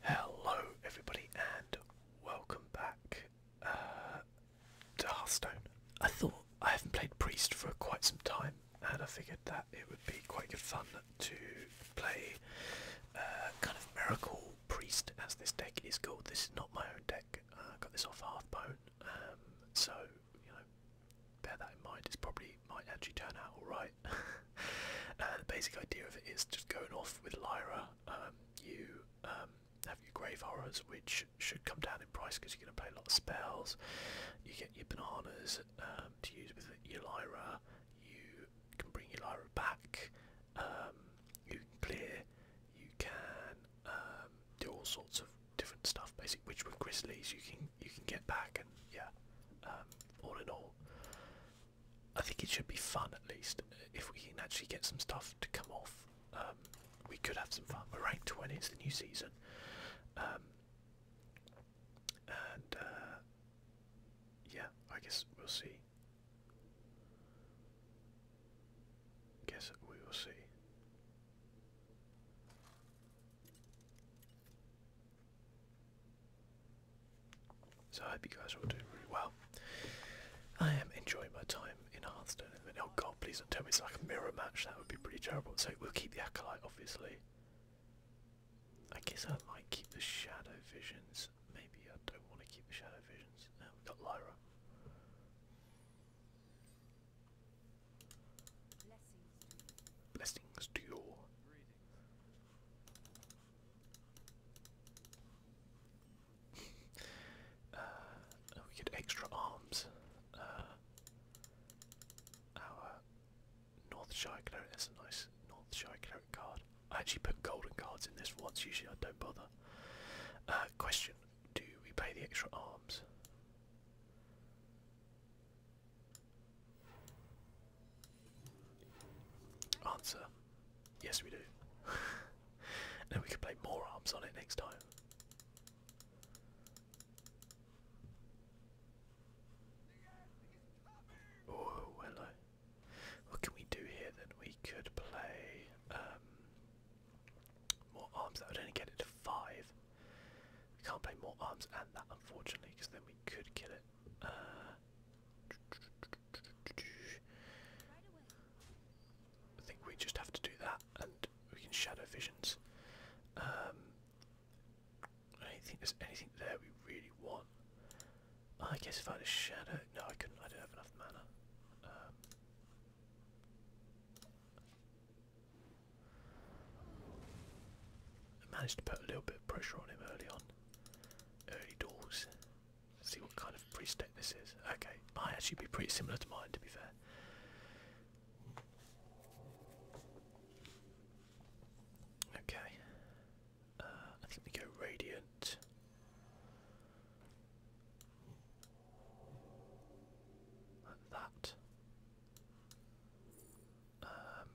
Hello, everybody, and welcome back uh, to Hearthstone. I thought I haven't played Priest for quite some time, and I figured that it would be quite good fun to play uh, kind of Miracle Priest, as this deck is called. This is not my own deck. Uh, I got this off Hearthbone, um, so you know, bear that in mind. It's probably might actually turn out alright and uh, the basic idea of it is just going off with Lyra. Um, you um, have your grave horrors, which should come down in price because you're going to play a lot of spells. You get your bananas um, to use with your Lyra. You can bring your Lyra back. you can clear. You can do all sorts of different stuff. basic. which with Grizzlies you can you can get back and yeah. Um, all in all, I think it should be fun at least. If we can actually get some stuff to come off, um, we could have some fun. We're ranked 20. It's the new season, um, and uh, yeah, I guess we'll see. Guess we will see. So I hope you guys are all doing really well. I am enjoying my time in Hearthstone Oh god, please don't tell me it's like a mirror match, that would be pretty terrible. So we'll keep the Acolyte, obviously. I guess I might keep the Shadow Visions. Maybe I don't want to keep the Shadow Visions. Now we've got Lyra. Blessings to your uh, we get extra arms. Uh, our Northshire Cleric, that's a nice Northshire Cleric card. I actually put golden cards in this once, usually I don't bother. Uh, question, do we pay the extra arms? Answer. Yes we do. then we can play more arms on it next time. Oh hello. What can we do here then? We could play um, more arms. That would only get it to five. We can't play more arms and that unfortunately because then we could kill it. I think we just have to do that, and we can shadow visions. I um, don't think there's anything there we really want. I guess if I had a shadow, no, I couldn't. I don't have enough mana. Um, I managed to put a little bit of pressure on him early on. Early doors. see what kind of preset this is. Okay, might actually be pretty similar to mine to be fair. Okay. Uh, I think we go radiant. Like that. Um,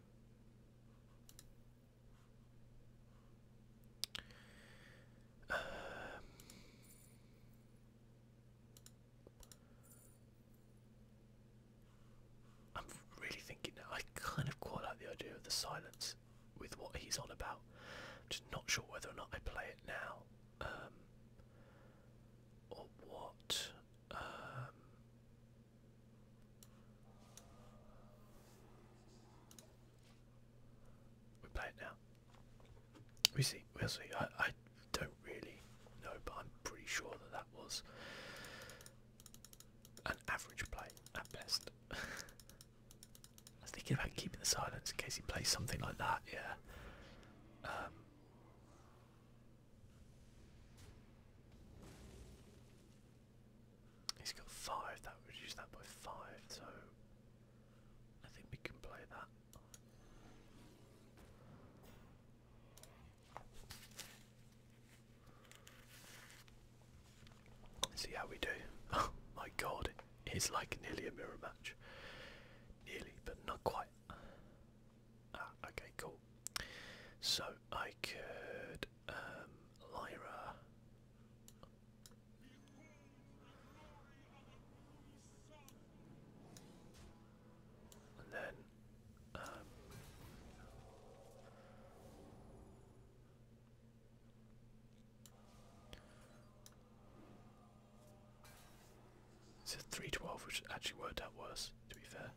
um, I'm really thinking I kind of quite like the idea of the silence with what he's on about. just not sure whether or not I play it now. Um, or what? Um, we play it now. We see. We'll see. I, I don't really know, but I'm pretty sure that that was an average play at best. I was thinking about keeping the silence in case he plays something like that. Yeah. Um, He's got five, that would reduce that by five, so I think we can play that. Let's see how we do. Oh my god, it's like nearly a mirror match. Nearly, but not quite. Ah, okay, cool. So I could um, Lyra. And then, um, it's a three twelve, which actually worked out worse. To be fair,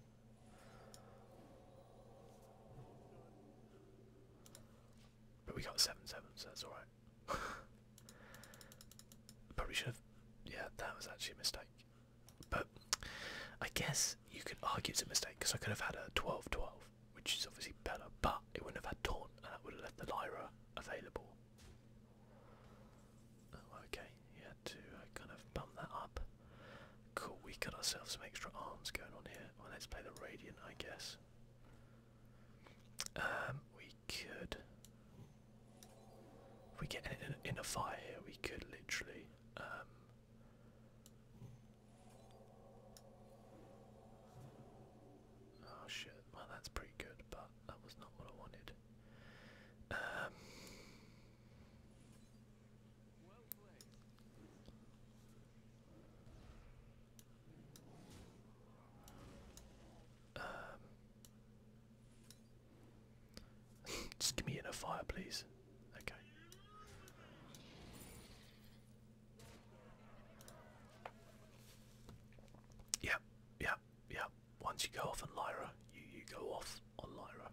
but we got seven seven, so that's alright. Probably should have yeah, that was actually a mistake. But I guess you could argue it's a mistake because I could have had a 12 12, which is obviously better, but it wouldn't have had Taunt and that would have left the Lyra available. Oh, okay, you to uh, kind of bump that up. Cool, we got ourselves some extra arms going on here. Well, let's play the Radiant, I guess. Um, we could. we get in, a fire here, we could literally. Um, oh shit, well, that's pretty good, but that was not what I wanted. Um, um, just give me in a fire, please. Okay. Yep, yep, yep. Once you go off on Lyra, you you go off on Lyra.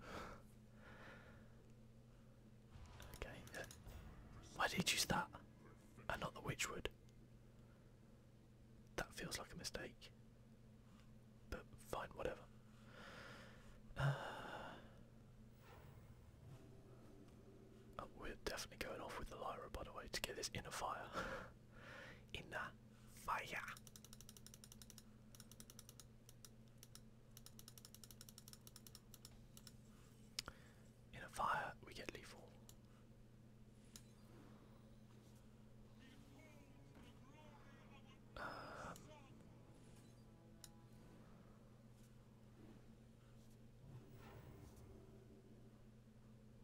Okay, Why did he use that? And not the witchwood? That feels like a mistake. But fine, whatever. Uh, oh, we're definitely going off with the Lyra, by the way, to get this inner fire. inner fire. In a fire, we get lethal. Um,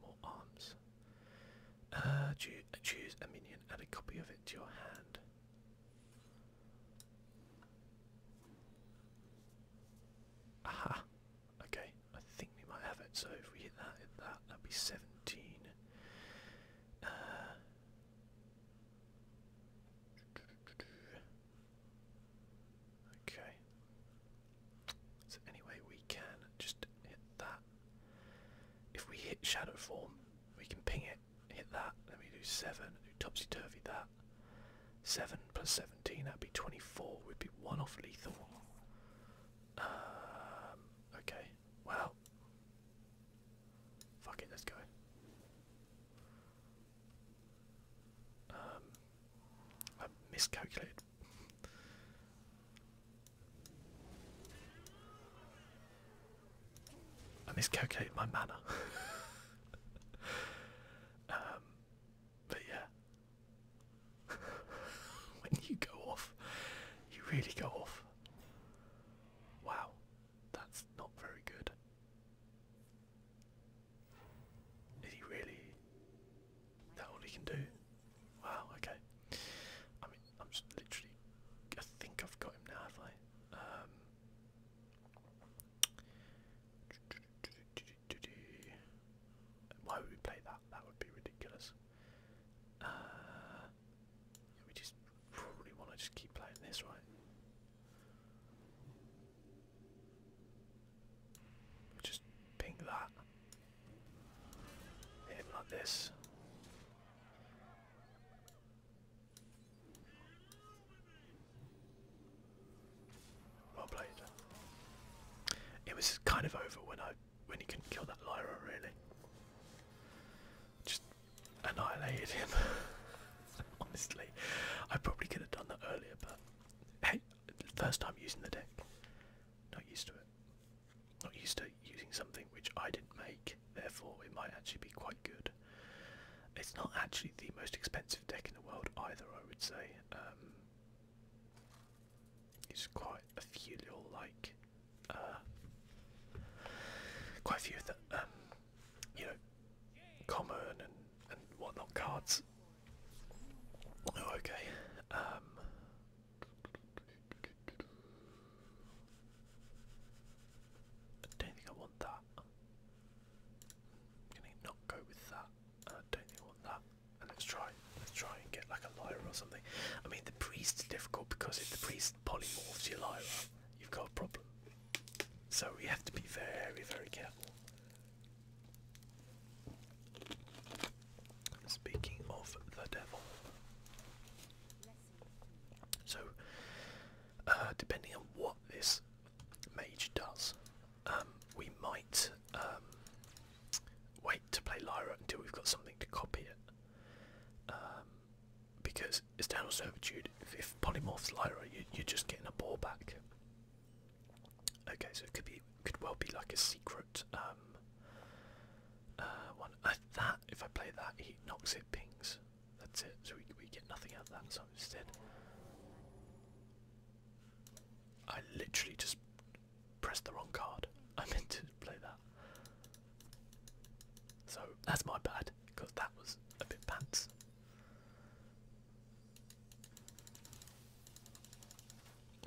more arms. Uh, choose a minion, add a copy of it to your hand. Aha. Okay, I think we might have it. So if we hit that, hit that, that'd be 17. Uh, okay. So anyway, we can just hit that. If we hit shadow form, we can ping it, hit that, Let me do 7, do topsy-turvy that, 7 plus 17, that'd be 24, would be one off lethal. Um, okay, well. Fuck it, let's go. Um, I miscalculated. I miscalculated my mana. Um, but yeah, when you go off, you really go off. Wow, that's not very good. Is he really? That all he can do? Wow. Okay. I mean, I'm just literally. I think I've got him now, have I? Um, why would we play that? That would be ridiculous. Uh, we just probably want to just keep playing this, right? we just ping that. Hit him this. Well played. It was kind of over when I when he couldn't kill that Lyra really. Just annihilated him. Honestly. I probably could have done that earlier, but hey, first time using the deck. Not used to it. Not used to using something which I didn't make, therefore it might actually be quite good. It's not actually the most expensive deck in the world either, I would say. Um, it's quite a few like, uh, quite a few of the, um, you know, common and and whatnot cards. Oh, okay. Um, I don't think I want that. i not go with that. I don't think I want that. let's try, let's try and get like a Lyra or something. I mean, the priest's difficult because if the priest polymorphs your Lyra, you've got a problem. So we have to be very, very careful. Speaking of the devil, so uh, depending on what this Mage does. Um, we might um, wait to play Lyra until we've got something to copy it. Um, because it's down to Servitude, if, if Polymorph's Lyra, you, are just getting a ball back. Okay, so it could be could well be like a secret um, uh, one. Uh, that if I play that, he knocks it pings. That's it. So we get nothing out of that. So instead, I literally just pressed the wrong card. I meant to play that. So that's my bad, because that was a bit pants.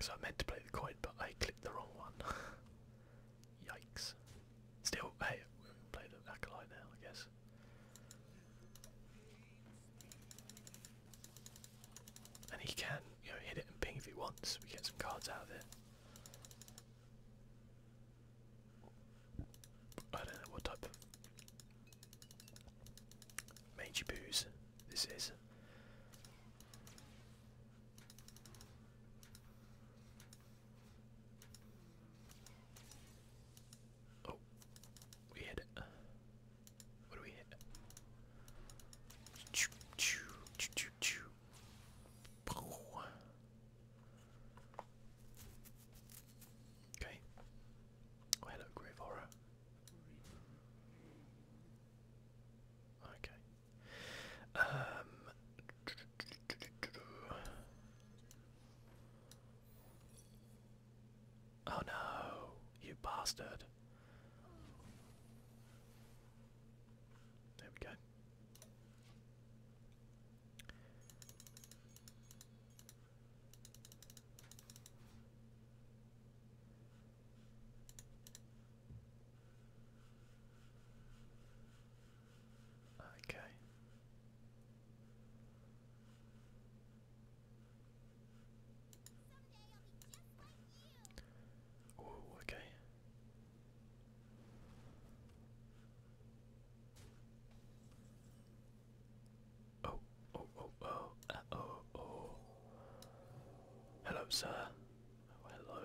So I meant to play the coin, but I clicked the wrong one. Yikes. Still, hey, we'll play the acolyte now, I guess. And he can, you know, hit it and ping if he wants. We get some cards out of it. I don't know what type of Major this is. Oh, we hit it. What do we hit? Choo, Okay. Oh, hello, Grave Horror. Okay. Um, Oh no, you bastard. There we go. Okay oh, okay. Oh, oh, oh, oh, uh, oh, oh. Hello, sir. Oh, hello.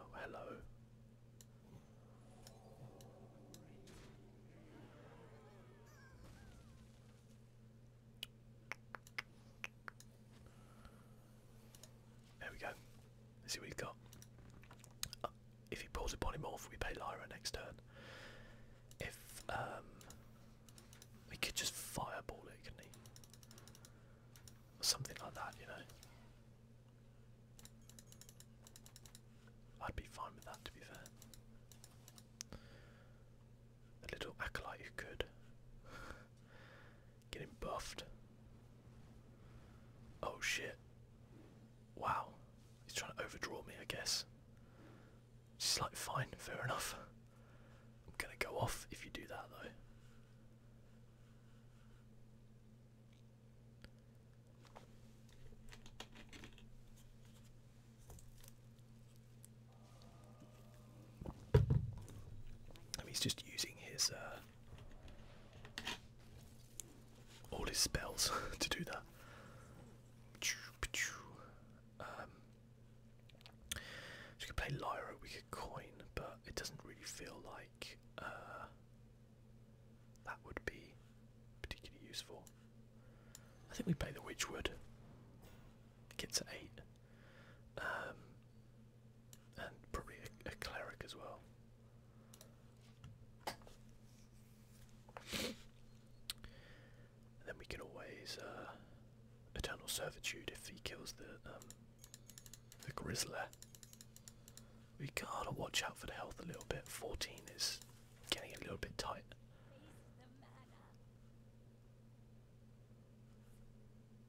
Oh, hello. There we go. Let's see what we've got. Uh, if he pulls a polymorph, we pay Lyra next turn. If um, we could just fireball it, Or something like that, you know. I'd be fine with that, to be fair. A little acolyte who could. Get him buffed. Oh shit. Wow. He's trying to overdraw me, I guess. She's fine, fair enough. I'm gonna go off if you do that, though he's just using his uh, all his spells to do that. we um, could play Lyra, we could coin, but it doesn't really feel like uh, that would be particularly useful. I think we play the Witchwood. Get to eight. Um, and probably a, cleric as well. then we can always uh, eternal servitude if he kills the um, the grizzler. We gotta watch out for the health a little bit. Fourteen is getting a little bit tight.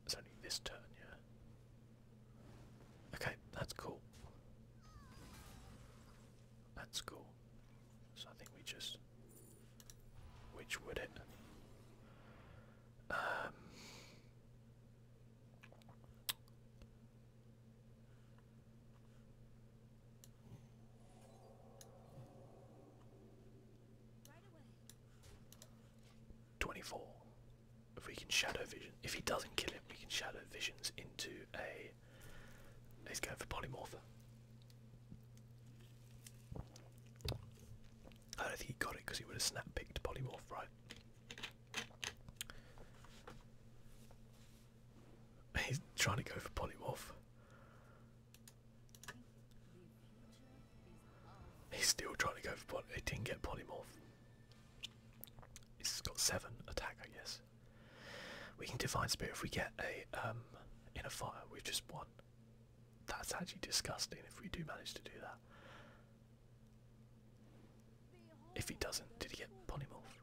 It's only this turn, yeah. Okay, that's cool. That's cool. So I think we just. Which would it? Um, 24. If we can shadow vision, if he doesn't kill him, we can shadow visions into a. He's going for polymorpher. I don't think he got it because he would have snap picked polymorph, right? He's trying to go for Polymorph. He's still trying to go for Polymorph. He didn't get Polymorph. He's got 7 attack, I guess. We can Divine Spirit if we get a um, in a Fire. We've just won. That's actually disgusting if we do manage to do that. If he doesn't, did he get polymorph?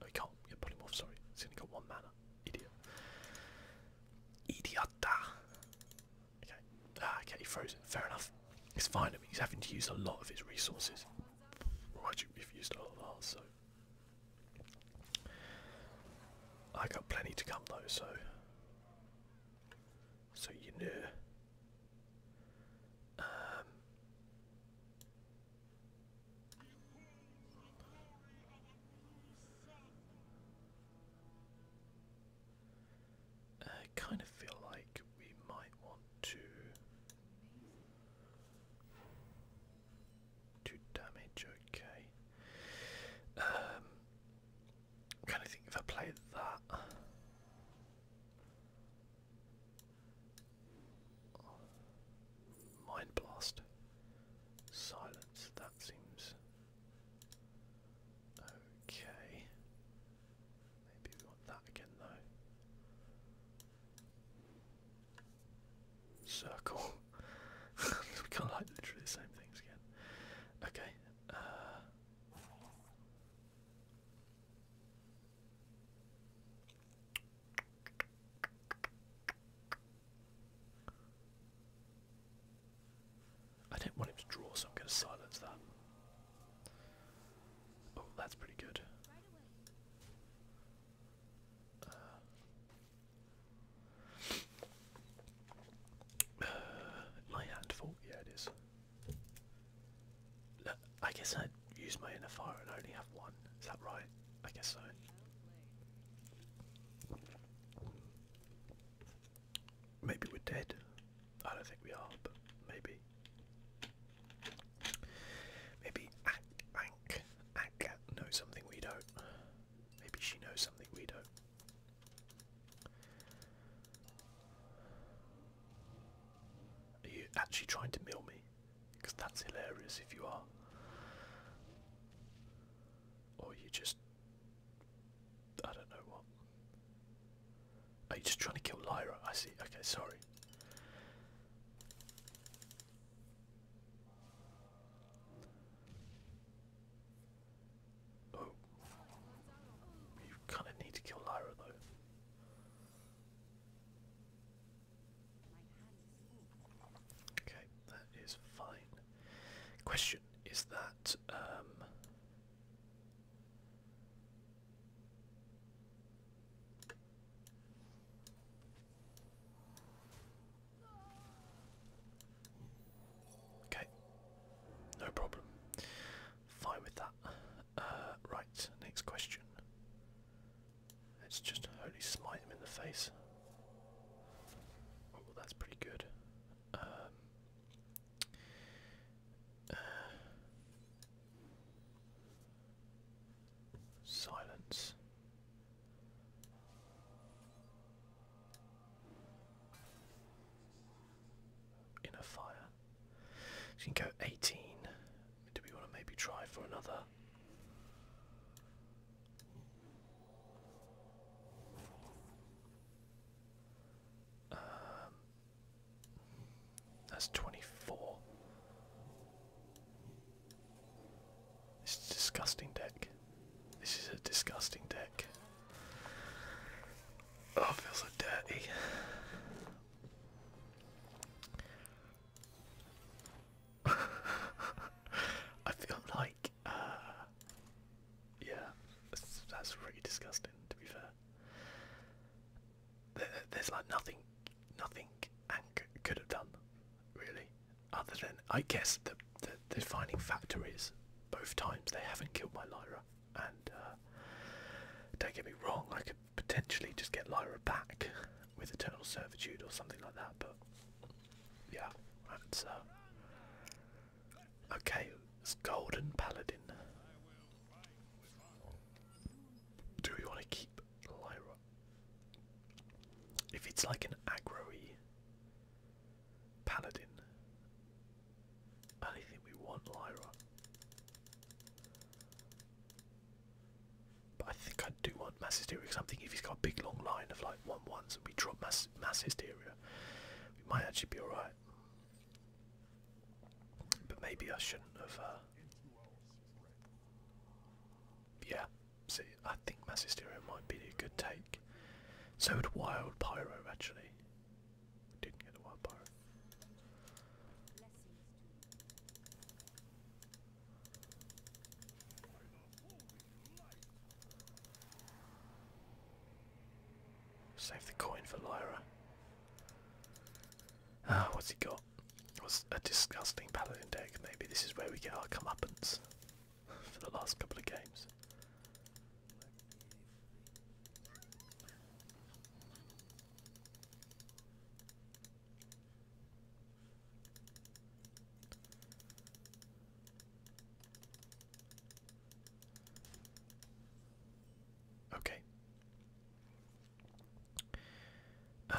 No, oh, he can't You him off. sorry. He's only got one mana. Idiot. Idiota. Okay. Ah, okay, he froze it. Fair enough. It's fine. I mean, he's having to use a lot of his resources. Well, actually, we've used a lot so. I got plenty to come though, so. So you know. Um, I kind of feel like we might want to do damage, okay. Um, I'm think if I play that. Mind blast. Silence. That seems okay. Maybe we want that again though. Circle. we can't like literally the same things again. Okay. Uh, I don't want him to draw, so I'm going to silence that. Oh, that's pretty good. Uh, uh, my hand fault, yeah it is. I guess I'd use my inner fire and only have one. Is that right? I guess so. Maybe we're dead. I don't think we are, but maybe. Maybe Ank, Ank knows something we don't. Maybe she knows something we don't. Are you actually trying to mill me? because that's hilarious if you are. Or you just. I don't know what. Are you just trying to kill Lyra? I see. Okay, sorry. Oh. You kind of need to kill Lyra, though. Okay, that is fine. Question is that um, Okay. No problem. Fine with that. Uh, right, next question. Let's just holy smite him in the face. Oh, that's pretty good. Um, uh, silence. Inner fire. She can go 18. Do we want to maybe try for another um, that's twenty-four. This is a disgusting deck. This is a disgusting deck. Oh, I so dirty. I feel like, uh, yeah, that's, that's really disgusting. To be fair, there's like nothing, nothing Ank could have done, really, other than I guess the the defining factor is both times they haven't killed my Lyra, and uh, don't get me wrong, I could potentially just get Lyra back with Eternal Servitude or something like that, but yeah, that's uh, okay. It's Golden Paladin. Do we want to keep Lyra? If it's like an aggro Paladin, I think we want Lyra. But I think I do want mass hysteria because I'm if he's got a big long line of like one ones and we drop mass mass hysteria, we might actually be alright. But maybe I shouldn't have. Uh, yeah, see, I think mass hysteria might be a good take. So would wild pyro actually. Didn't get a wild pyro. Save the coin for Lyra. Ah, what's he got? What's a disgusting paladin deck? Maybe this is where we get our comeuppance for the last couple of games. Okay. Um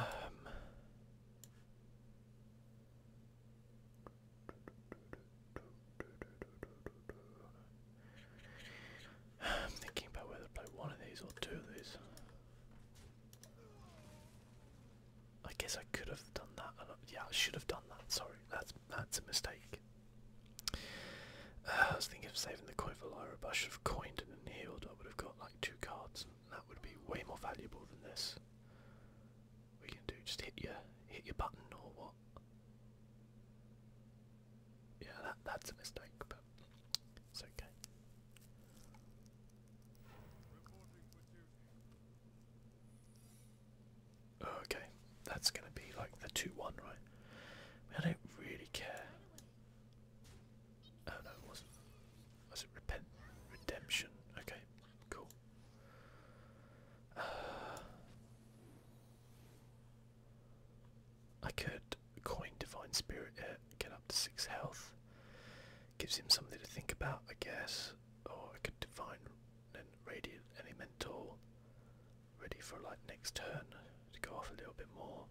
I'm thinking about whether to play one of these or two of these. I guess I could have done that. Yeah, I should have done that. Sorry, that's that's a mistake. Uh, I was thinking of saving the coin for Lyra, but I should have coined it and healed. I would have got like two cards. that would be way more valuable than this. What can do just hit your hit your button or what? Yeah, that that's a mistake, but it's okay. Oh, okay, that's gonna be like the 2 1, right? I, don't really care. Oh no, wasn't. Was it repent? Redemption? Okay, cool. I could coin Divine Spirit, uh, get up to 6 health. Gives him something to think about, I guess. Or I could define an radiant elemental ready for like next turn to go off a little bit more.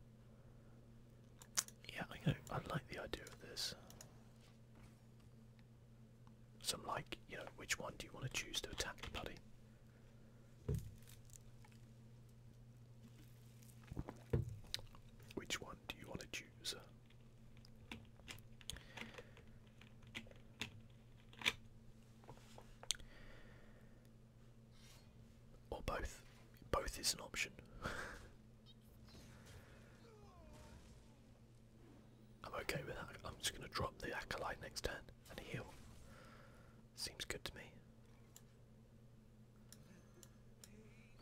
Yeah, I know. I like the idea of this. Some like, you know, which one do you want to choose to attack the buddy? Which one do you want to choose? Or both. Both is an option. I'm okay with that. I'm just going to drop the acolyte next turn and heal. Seems good to me.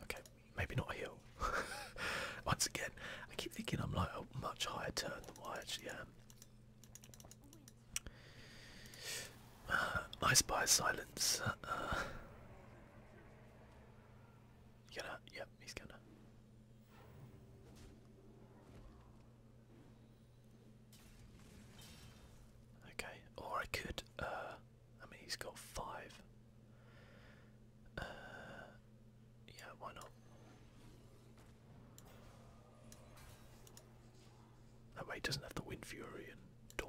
Okay, maybe not a hill. Once again, I keep thinking I'm like a much higher turn than I actually am. Uh, by silence. Uh, uh. Yep, he's gonna. Okay, or I could. Uh, I mean, he's got five. Uh, yeah, why not? That way he doesn't have the Wind Fury and Dawn.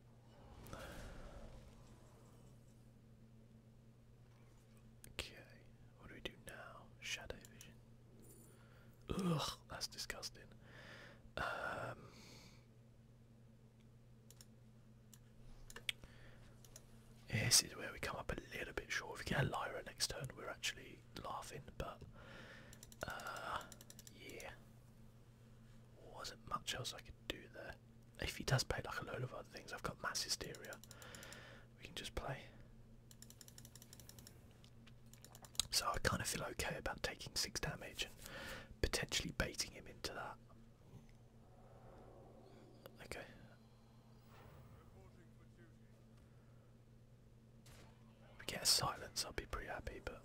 Okay, what do we do now? Shadow Ugh, that's disgusting. Um, this is where we come up a little bit short. If we get a Lyra next turn, we're actually laughing, but uh, yeah, wasn't much else I could do there. If he does pay like a load of other things, I've got mass hysteria. We can just play. So I kind of feel okay about taking six damage and potentially baiting him into that. Okay. we get silence, I'll be pretty happy, but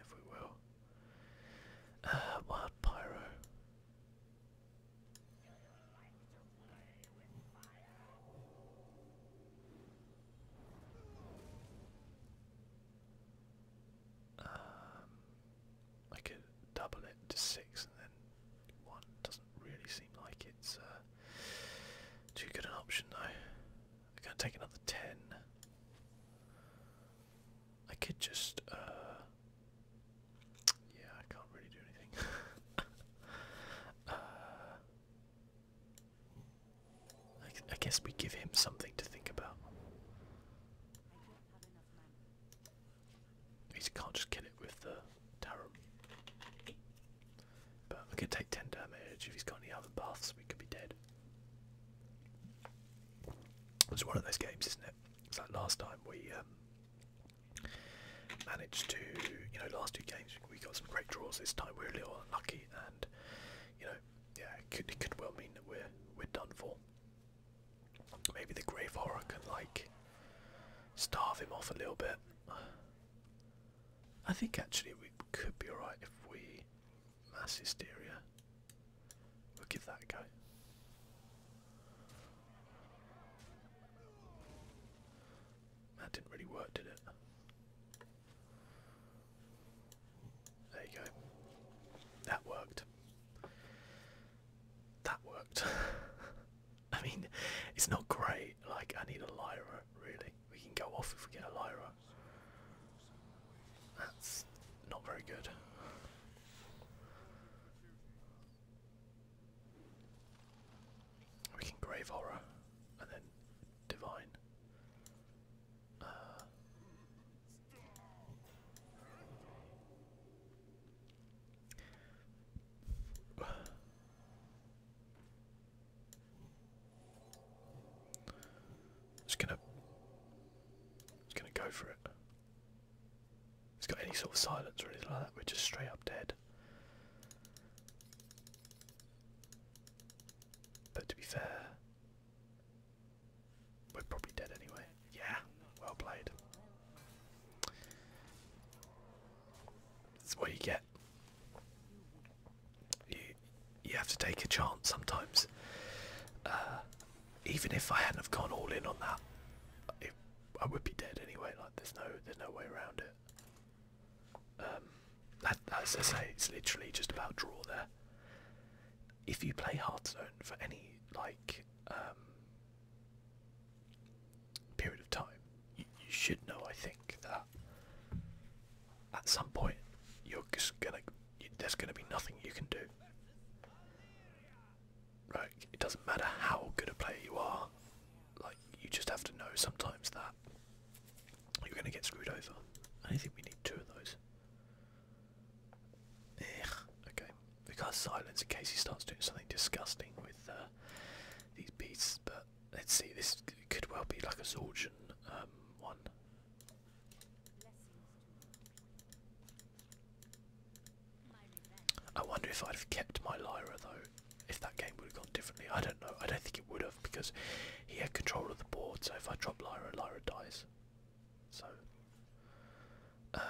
if we will. Uh, wild pyro. Um, I could double it to six, and then one doesn't really seem like it's uh, too good an option, though. I'm gonna take another ten. I could just uh, yeah, I can't really do anything. Uh, I, guess we give him something to think about. He can't just kill it with the tarot. But we could take 10 damage. If he's got any other buffs, we could be dead. It's one of those games, isn't it? So last time we um, managed to, you know, last two games we got some great draws. This time we are a little unlucky, and you know, yeah, it could it could well mean that we're we're done for. Maybe the grave horror can like starve him off a little bit. I think actually we could be alright if we mass hysteria. We'll give that a go. That didn't really work, did it? There you go. That worked. That worked. I mean, it's not great. Like, I need a Lyra, really. We can go off if we get a Lyra. That's not very good. We can grave horror and then divine. Uh, just gonna, just gonna go for it. It's got any sort of silence or anything like that, we're just straight up dead. But to be fair, we're probably dead anyway. Yeah, well played. That's what you get. You you have to take a chance sometimes. Uh, even if I hadn't have gone all in on that, I would be dead anyway. Like there's no there's no way around it. Um, as I say, it's literally just about draw there. If you play Hearthstone for any like um, period of time, you, should know. I think that at some point you're just gonna there's gonna be nothing you can do like it doesn't matter how good a player you are, like you just have to know sometimes that you're gonna get screwed over. I think we need two of those. Ech, okay. We have got silence in case he starts doing something disgusting with uh, these beasts, but let's see, this could well be like a Zorgian um, one. I wonder if I'd have kept my Lyra though, if that game would have gone differently. I don't know. I don't think it would have because he had control of the board. So if I drop Lyra, Lyra dies. So. Uh,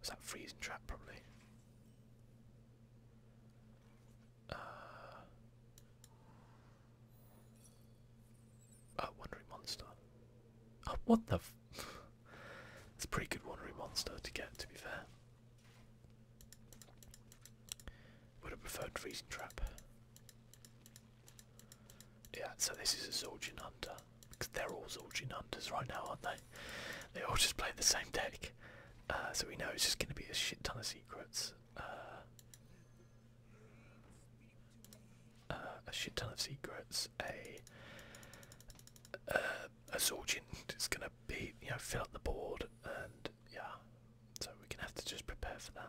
was that freezing trap probably? Uh, uh Wandering Monster. Oh, what the f That's a pretty good Wandering Monster to get, to be fair. Would have preferred Freezing Trap. Yeah, so this is a Zorgin Hunter. Because they're all Zorgin Hunters right now, aren't they? They all just play the same deck back. Uh, so we know it's just going to be a shit ton of secrets. Uh, uh, a shit ton of secrets. A uh, a Zorgin is going to be you know fill up the board and yeah. So we're going to have to just prepare for that.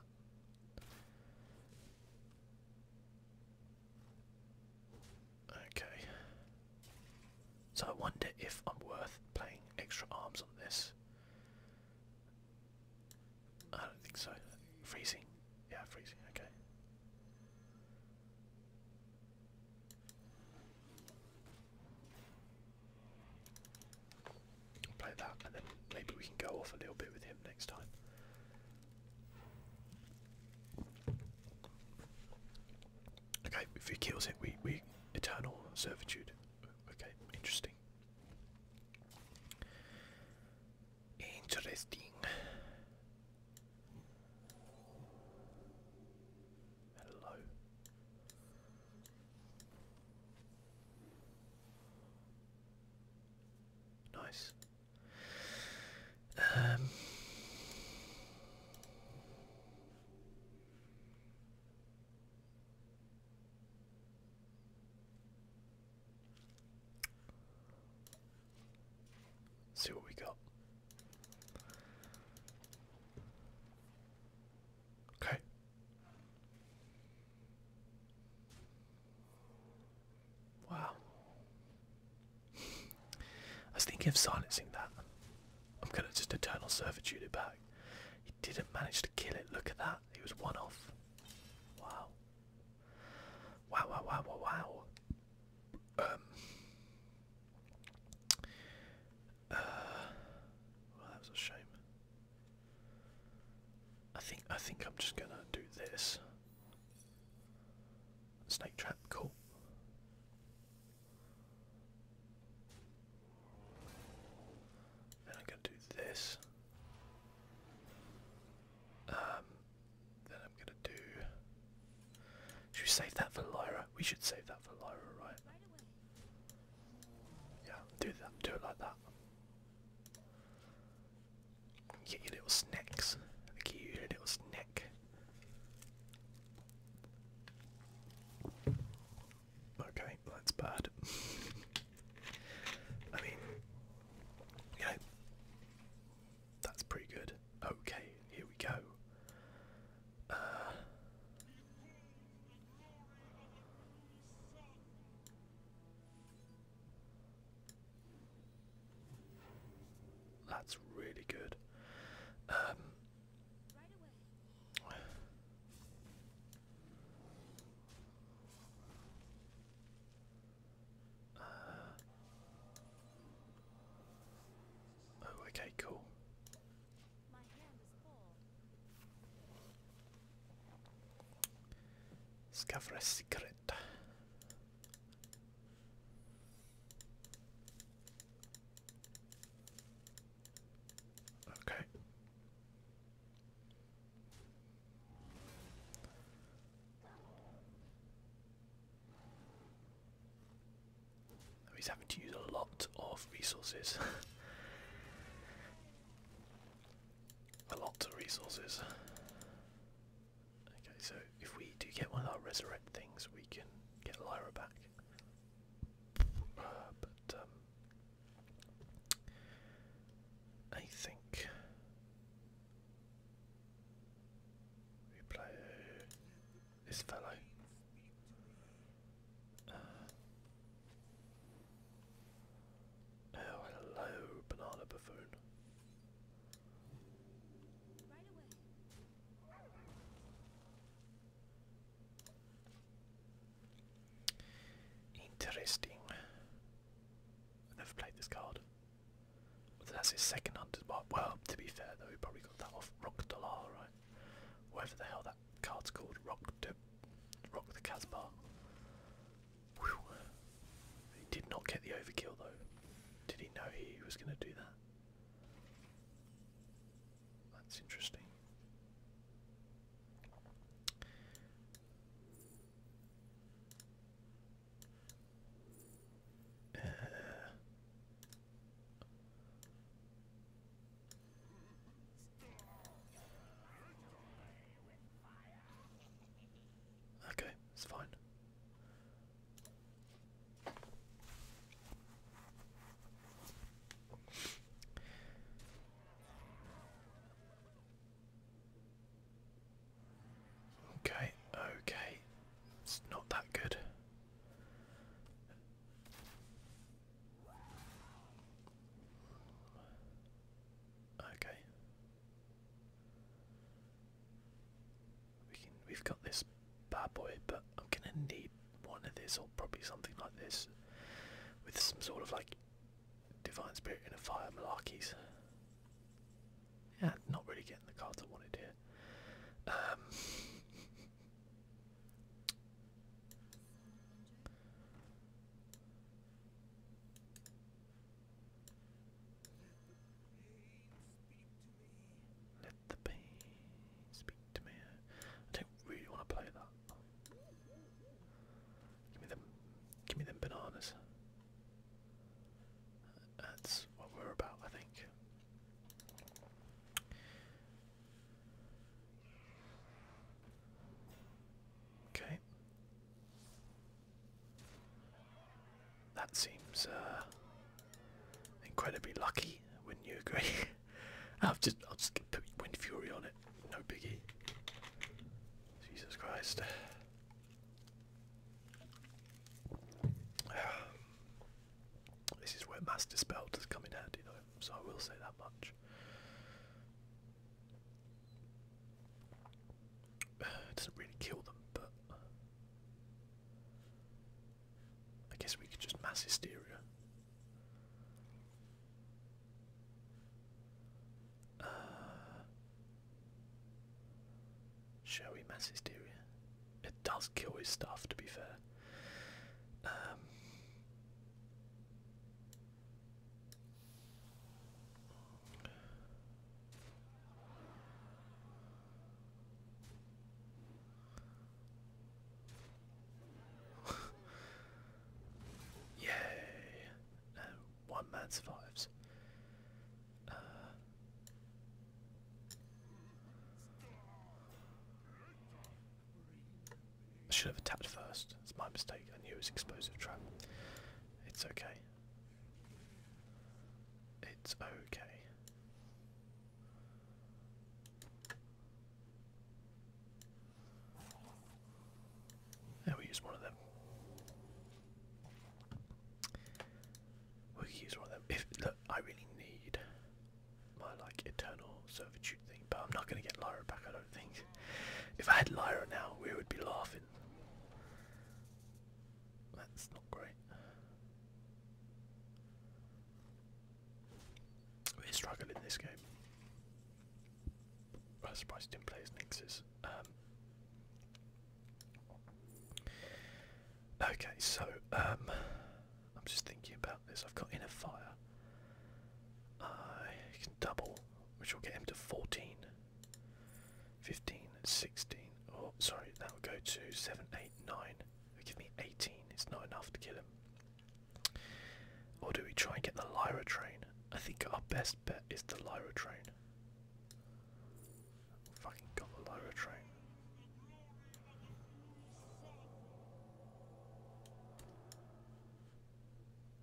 Okay. So I wonder if I'm worth playing extra arms on this. I don't think so. Freezing? Yeah, freezing, okay. play that and then maybe we can go off a little bit with him next time. Okay, if he kills it, we, we eternal servitude. Okay, interesting. Interesting. Hello. Nice. Um see what we got. Okay. Wow. I was thinking of silencing that. I'm gonna just eternal servitude about. He didn't manage to kill it. Look at that. He was one off. Wow. Wow, wow, wow, wow, Um. Uh, well, that a shame. I think I think I'm just gonna do this. Snake trap, cool. Um, then I'm going to do this. then I'm going to do. Should we save that for Lyra? We should save that for Lyra, right? Yeah, do that. Do it like that. Get your little snacks. Get your little snack. Okay, that's bad. I mean, you know, that's pretty good. Okay, here we go. Uh, that's really good. Um, uh, oh, okay, cool. My secret. Okay. he's having to use a lot of resources. a lot of resources. Okay, so if we do get one of our resurrect things, we can get Lyra back. Uh, but um, I think we play this fellow. Uh, oh, hello, banana buffoon. Interesting. I've never played this card. that's his second hunter's Well, to be fair though, he probably got that off Rock Dalar, right? Whatever the hell that card's called, Rock to Rock the Caspar. He did not get the overkill though. Did he know he was gonna do that? That's interesting. Uh, okay, it's fine. Okay, okay. It's not that good. Okay. We can we've got this bad boy, but I'm gonna need one of this or probably something like this with some sort of like divine spirit in a fire malarkeys. Yeah, not really getting the cards I wanted here. Um, Let the pain speak to me. I don't really want to play that. Give me them. Give me them bananas. That's what we're about, I think. Okay. That seems uh, incredibly lucky, wouldn't you agree? I'll just put Wind Fury on it. No biggie. Jesus Christ. This is where mass dispel does come in handy so I will say that much. It doesn't really kill them, but I guess we could just mass hysteria. Uh, shall we mass hysteria? It does kill his stuff, to be fair. Um, Yay! Um, one man survives. Uh, I should have attacked first. It's my mistake. I knew it was explosive trap. It's okay. It's okay. Yeah, we use one of them. We use one of them. If I really need my like eternal servitude thing, but I'm not gonna get Lyra back. I don't think. If I had Lyra now, we would be laughing. That's not great. We're in this game. I was surprised he didn't play his Nixes. Um, okay, so um, I'm just thinking about this. I've got Inner Fire. I can double, which will get him to 14, 15, 16. Oh, sorry, that will go to 7, 8, 9. It'll give me 18. It's not enough to kill him. Or do we try and get the Lyra train? I think our best bet is the Lyra train. Fucking got the Lyra train.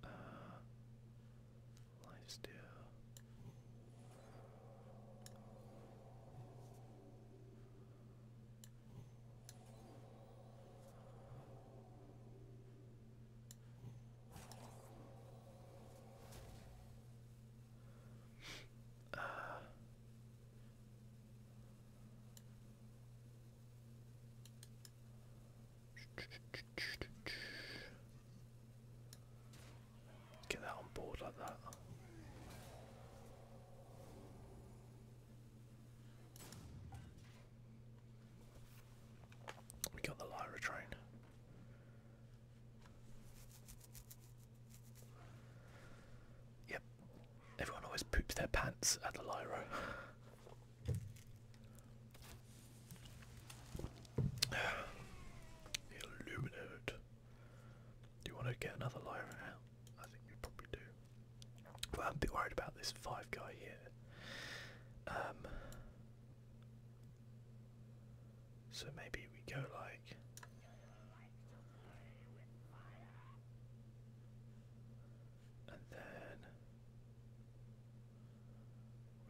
Uh, life steal get that on board like that. We got the Lyra train. Yep, everyone always poops their pants at the Lyra. Illuminate. Do you want to get another Lyra out? I think we probably do. But I'm a bit worried about this five guy here. Um, so maybe we go like. And then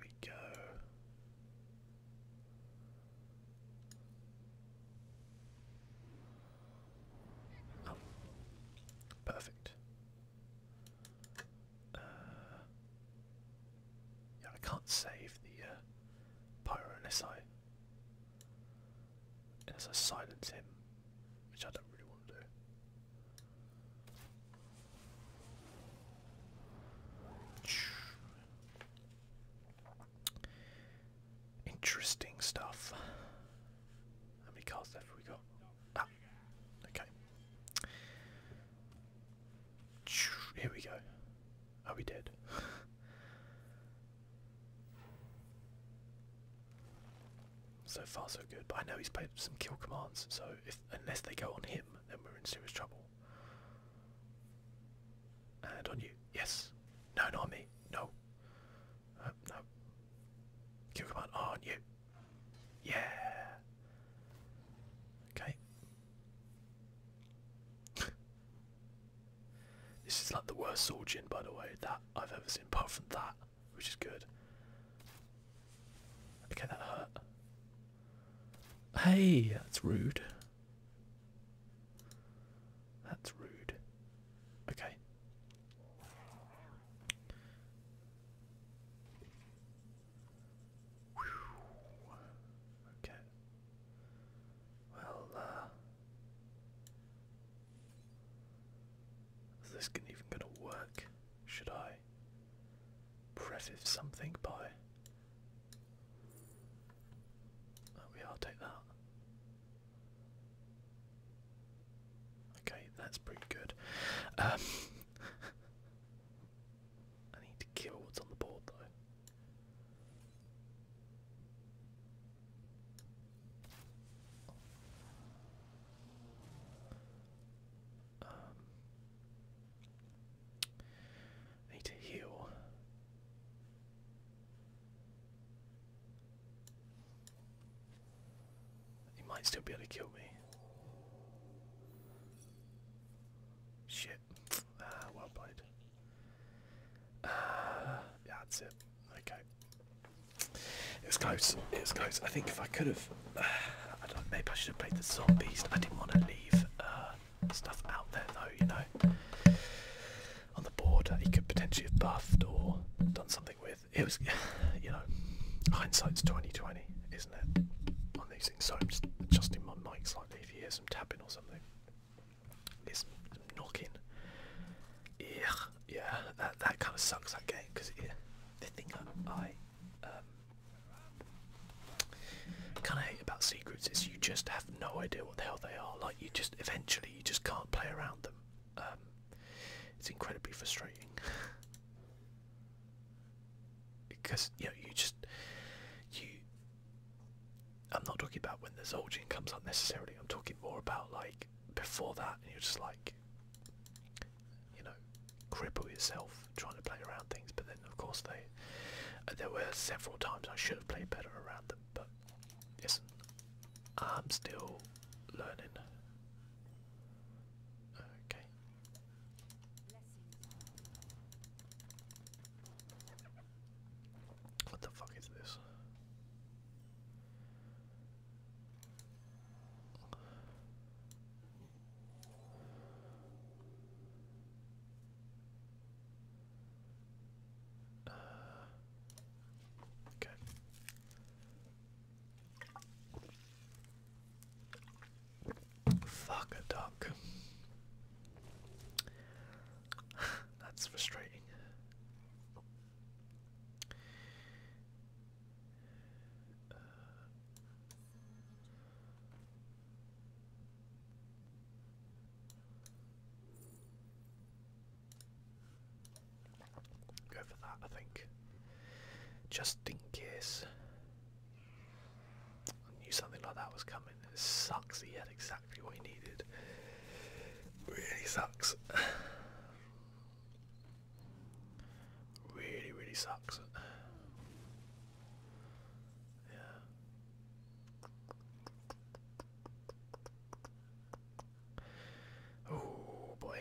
we go. Oh, perfect. Uh, yeah, I can't save the uh, pyro unless I unless I silence him, which I don't really want to do. Interesting stuff. How many cards left we got? Ah, okay. Here we go. Are we dead? so far, so good. But I know he's played some kill commands, so if unless they go on him, then we're in serious trouble. And on you. Yes. No, not me. No. Uh, no. Kill command ah, on you. Yeah. Okay. this is like the worst sword gin, by the way, that I've ever seen, apart from that, which is good. Okay, that hurt. Hey, that's rude. That's rude. Okay. Okay. Well, uh, Is this even gonna work? Should I preface something by. Oh, we are, take that. Okay, that's pretty good. Um, I need to kill what's on the board though. Um, need to heal. He might still be able to kill me. Shit. Ah, well played. Uh, yeah, that's it. Okay. It was close. It was close. I think if I could have, uh, Maybe I should have played the zombies. I didn't want to leave uh, stuff out there, though. You know, on the board, he could potentially have buffed or done something with it, was, you know, hindsight's twenty twenty, isn't it? On these things, so I'm just adjusting my mic slightly. If you hear some tapping or something, it's knocking. Yeah, yeah, that that kind of sucks that game because the thing I, I um, kind of hate about secrets is you just have no idea what the hell they are. Like you just eventually you just can't play around them. Um, it's incredibly frustrating because you know you just you i'm not talking about when the zolgin comes up necessarily i'm talking more about like before that and you're just like you know cripple yourself trying to play around things but then of course they there were several times i should have played better around them but yes, i'm still learning okay what the fuck is this? Uh, okay. Fuck a duck. That's frustrating. Go for that, I think. Just in case. I knew something like that was coming. It sucks. He had exactly what he needed. Really sucks. really, really sucks. Yeah. Oh boy.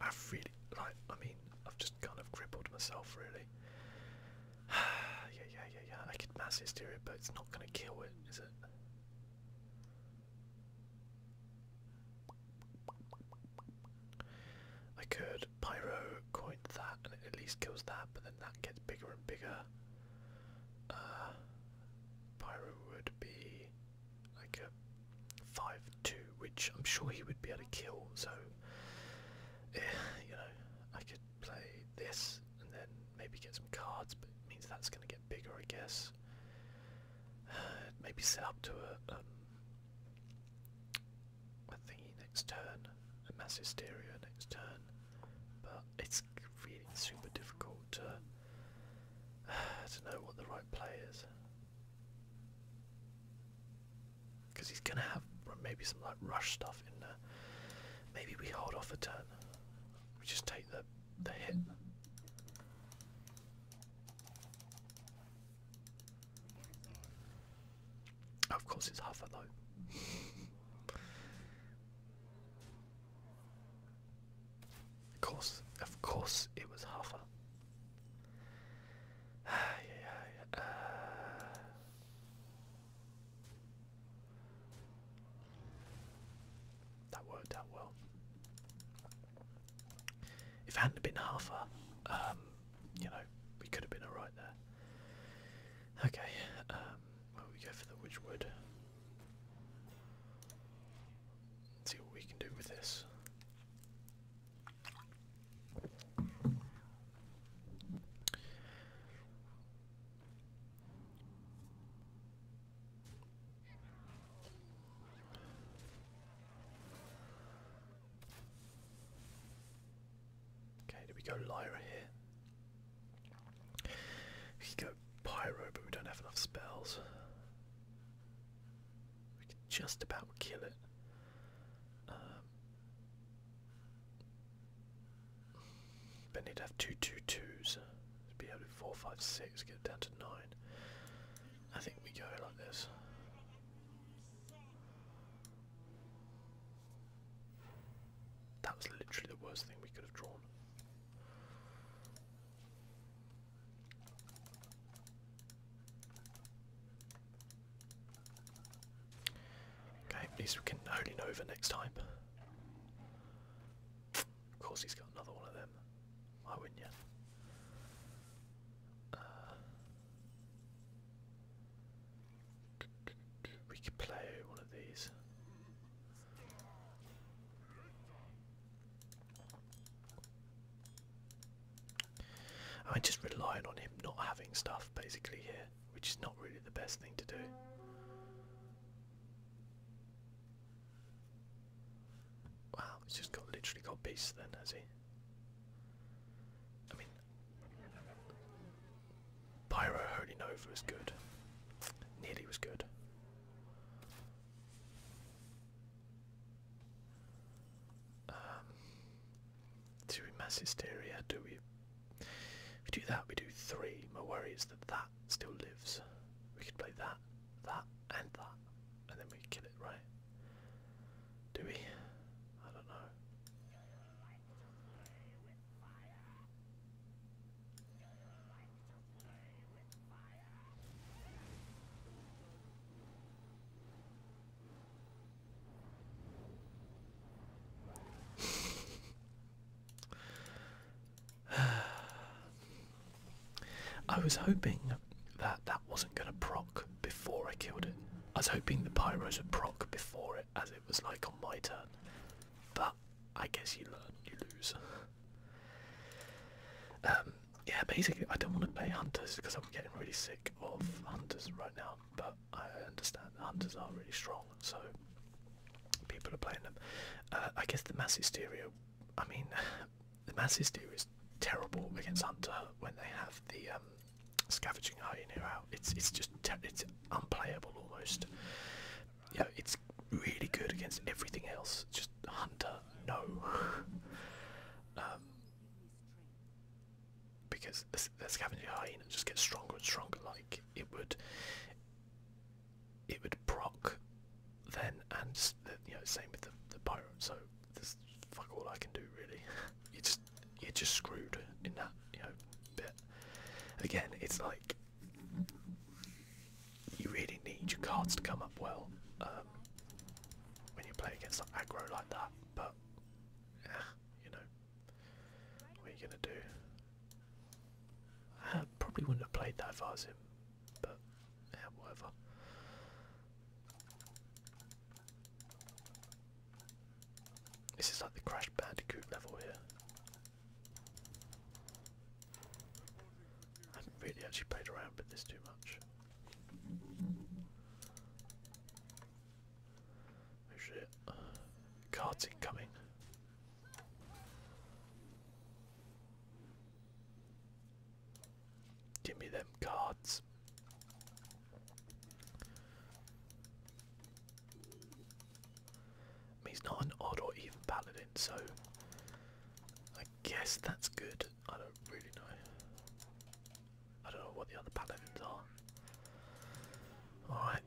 I've really, like, I mean, I've just kind of crippled myself, really. yeah, yeah, yeah, yeah. I could mass hysteria, but it's not going to kill it, is it? I could pyro coin that, and it at least kills that, but then that gets bigger and bigger. Uh, pyro would be like a 5-2, which I'm sure he would be able to kill, so, eh, you know, I could play this and then maybe get some cards, but means that's going to get bigger, I guess. maybe set up to a, um, a next turn, a next turn, but it's really super difficult to to know what the right play is. Because he's going to have maybe some like rush stuff in there. Maybe we hold off a turn. We just take the, the hit. of course, it's Huffer though. Of course, of course, it was Huffer. Uh. That worked out well. If it hadn't been Huffer, um, you know, we could have been alright there. Okay, um, we go for the Witchwood? Let's see what we can do with this. Okay, do we go Lyra here? We go Pyro, but we don't have enough spells. We could just about kill it. Um, but he'd have two two twos. be able to four five six. Get it down to nine. I think we go like this. That was literally the worst thing we could have drawn. Okay, at least we can only know over next time. Of course, he's got another one of them. Why wouldn't you? Uh, we could play one of these. I'm just relying on him not having stuff basically here, which is not really the best thing to do. Wow, he's just got literally got beasts then, has he? I mean, Pyro Holy Nova was good. Nearly was good do um, we mass hysteria? Do we? we do that, we do three. My worry is that that still lives. We could play that, that, and that, and then we kill it, right? Do we? I don't know. I was hoping that that wasn't going to proc before I killed it. I was hoping the pyros would proc before it, as it was like on my turn. But I guess you learn, you lose. Um, yeah, basically, I don't want to play Hunters because I'm getting really sick of Hunters right now, but I understand Hunters are really strong, so people are playing them. Uh, I guess the Mass Hysteria, I mean, the Mass Hysteria is terrible against Hunter when they have the um, Scavenging Hyena out. It's, it's just it's unplayable almost. Yeah, it's really good against everything else, just Hunter no. um, because the, the scavenger hyena just gets stronger and stronger. Like it would, it would proc then, and the, you know, same with the, the pirate. So there's fuck all I can do really. you just you're just screwed in that you know bit. Again, it's like you really need your cards to come up well um, when you play against like, aggro like that, but you know, what are you gonna do? I probably wouldn't have played that far as him, but whatever. This is like the Crash Bandicoot level here. I haven't really actually played around with this too much. Oh shit. Uh, cards incoming. Give me them cards. he's not an odd or even paladin, so I guess that's good. I don't really know. I don't know what the other paladins are. Alright.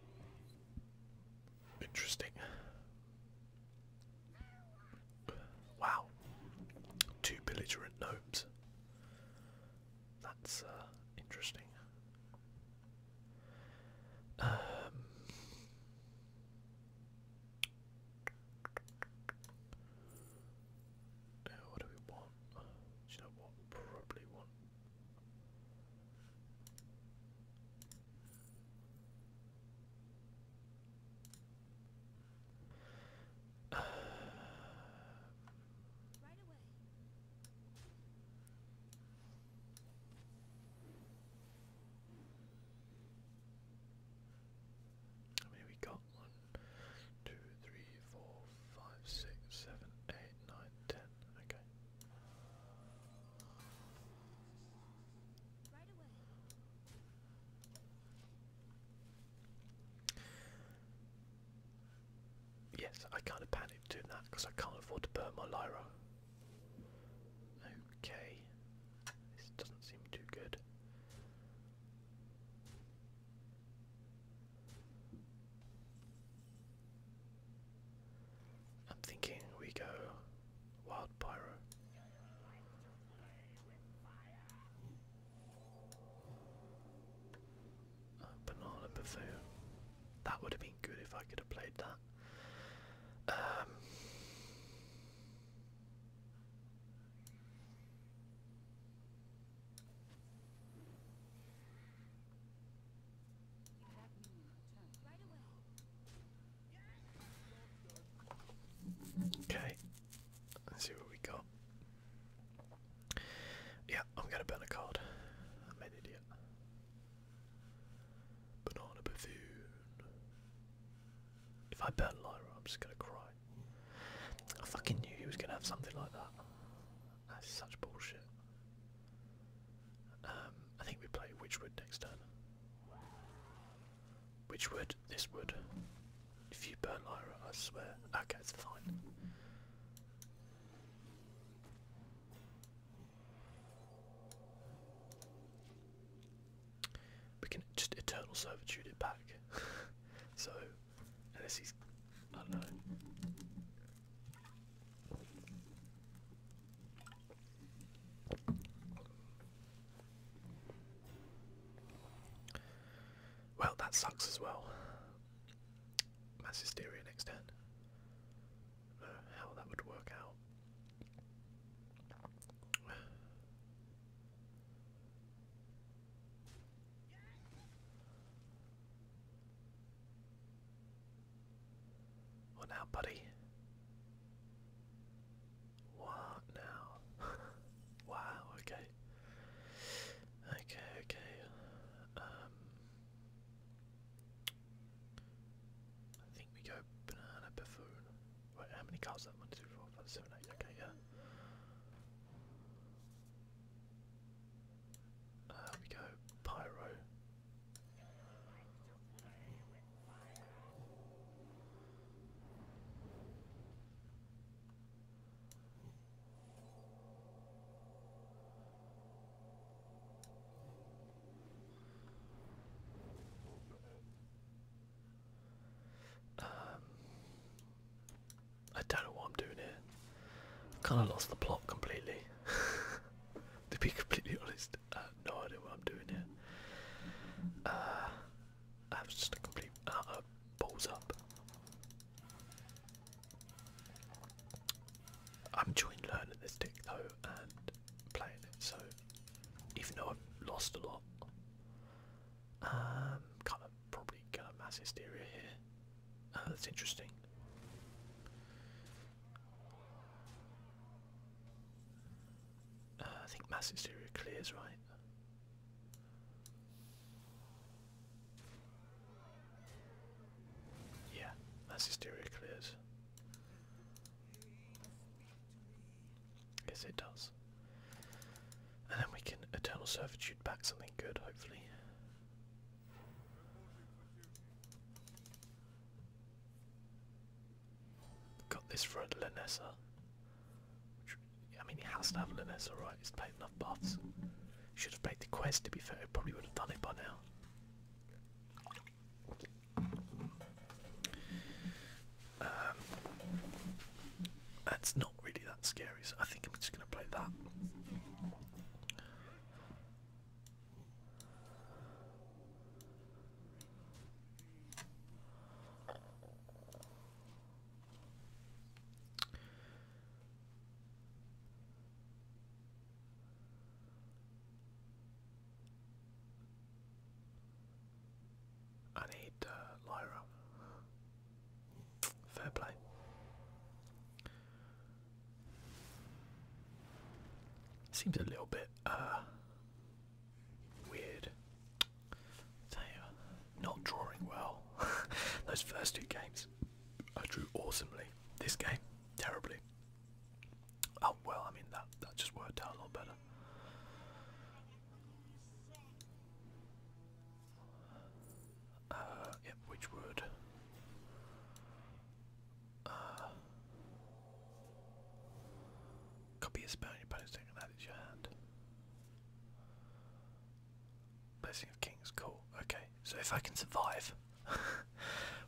Interesting. Wow. Two belligerent gnomes. That's uh, interesting. Um, uh, what do we want? you know what? probably want. How many we got? 1, Okay. Yes, I kind of panicked doing that because I can't afford to burn my Lyra. Okay. This doesn't seem too good. I'm thinking we go Wild Pyro. banana buffet. That would have been good if I could have played that. Um, Okay, let's see what we got. Yeah, I'm gonna burn a card. I'm an idiot. Banana buffoon. If I burn Lyra, I'm just gonna cry. I fucking knew he was gonna have something like that. That's such bullshit. Um, I think we play Witchwood next turn. Witchwood, this wood. If you burn Lyra, I swear. Okay, it's fine we can just eternal servitude it back. so, unless he's, I don't know. Well, that sucks as well. Mass hysteria next turn. how that would work out. What now, buddy? What now? wow, okay. Okay, okay. Um I think we go banana buffoon. Wait, how many cards is that? One, two, three, four, five, seven, eight. Okay, yeah. Uh, we go pyro. Um, I don't know what I'm doing here. Kind of lost the plot completely. to be completely honest, uh, uh, I have no idea what I'm doing here. I was just a complete uh, balls up. I'm enjoying learning this deck though and playing it, so even though I've lost a lot, um, kind of probably mass hysteria here. Uh, that's interesting. Uh, I think mass hysteria clears, right? Yeah, mass hysteria clears. I guess it does. And then we can Eternal Servitude back something good, hopefully. Got this for a Lanessa. I mean, he has to have Lanessa, right? He's played enough buffs. Should have played the quest, to be fair. He probably would have done it by now. Um, that's not really that scary, so I think I'm just going to play that. I need uh, Lyra. Fair play. Seems a little bit uh, weird. not drawing well. Those first two games, I drew awesomely. This game, terribly. Oh well, I mean that that just worked out a lot better. Uh, yep, which would uh, copy a spell your opponent's and add your hand. Blessing of Kings, cool. Okay, so if I can survive,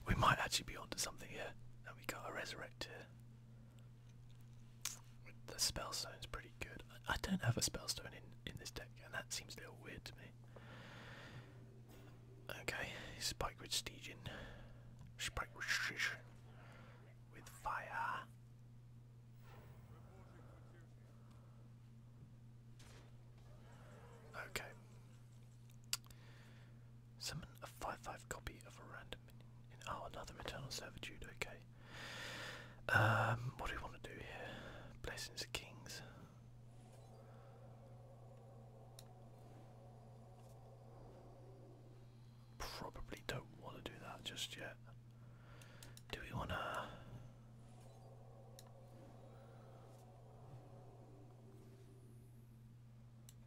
we might actually be onto something here. And we got a resurrecter. The spellstone's pretty good. I, don't have a spellstone in in this deck, and that seems a little weird to me. Okay, spike with Stegion. Spike with Shish. With fire. Okay. Summon a 5-5 copy of a random minion. Oh, another maternal Servitude, okay. Um, what do we want to do here? Blessings of Kings. Probably don't want to do that just yet. Do we want to?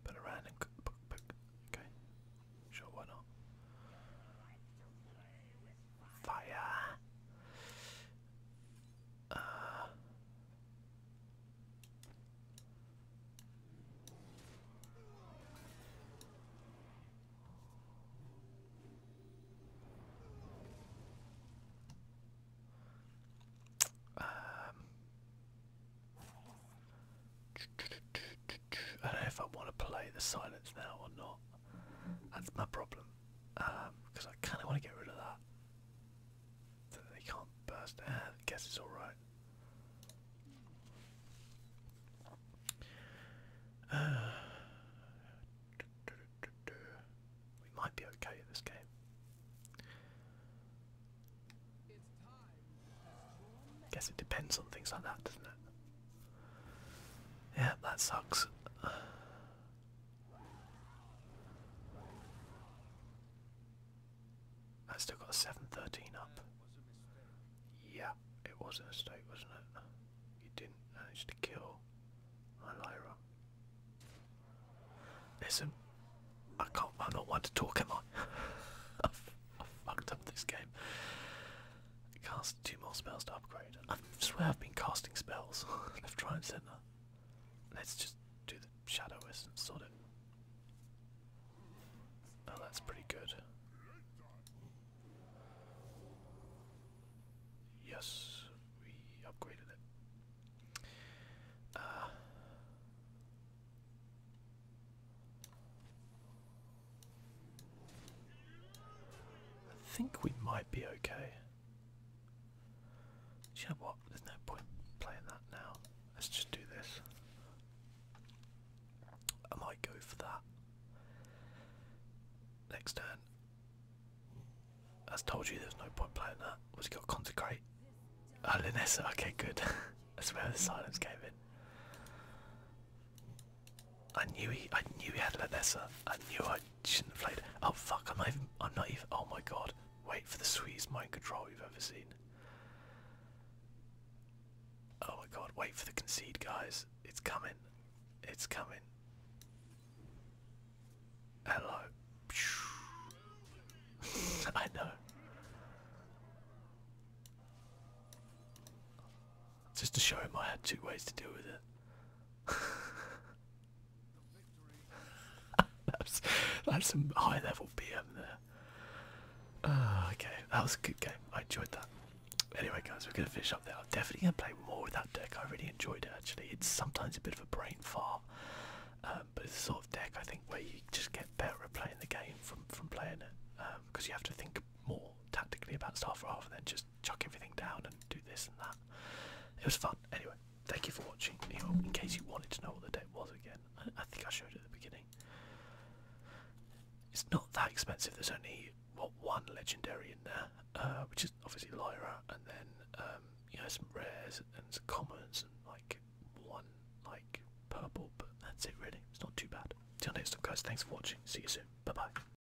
But a random cookbook, okay, sure, why not? Fire. Uh, um, I don't know if I want to play the silence now or not. That's my problem. Because um, I kind of want to get rid of that. they can't burst. guess it's alright. we might be okay at this game. Guess it depends on things like that, doesn't it? Yeah, that sucks. I still got a 713 up. Yeah, it was a mistake, wasn't it? You didn't manage to kill my Listen, I can't, I'm not one to talk, am I? i fucked up this game. Cast two more spells to upgrade. I swear I've been casting spells left, right, and centre. Let's just do the shadow essence, sort it. Oh, that's pretty good. Yes, we upgraded it. Uh, I think we might be okay. you know what? There's no point playing that now. Let's just do this. I might go for that. Next turn. As told you, there's no point playing that. What's got? Consecrate. Oh, Linessa. Okay, good. That's where the silence came in. I knew he I knew he had Ledessa. I knew I shouldn't have played. Oh fuck, I'm not even I'm not even oh my god. Wait for the sweetest mind control you've ever seen. Oh my god, wait for the concede guys. It's coming. It's coming. Hello. I know. Just to show him I had two ways to deal with it. that's, that's some high level BM there. Uh, okay, that was a good game. I enjoyed that. Anyway, guys, we're going to finish up there. I'm definitely going to play more with that deck. I really enjoyed it actually. It's sometimes a bit of a brain fart, um, but it's the sort of deck I think where you just get better at playing the game from, from playing it because um, you have to think more tactically about stuff rather than just chuck everything down and do this and that. It was fun. Anyway, thank you for watching. In case you wanted to know what the date was again, I, think I showed it at the beginning. It's not that expensive. There's only what one legendary in there, uh, which is obviously Lyra, and then um, you know some rares and some commons and like one like purple. But that's it really. It's not too bad. Till next time, guys. Thanks for watching. See you soon. Bye bye.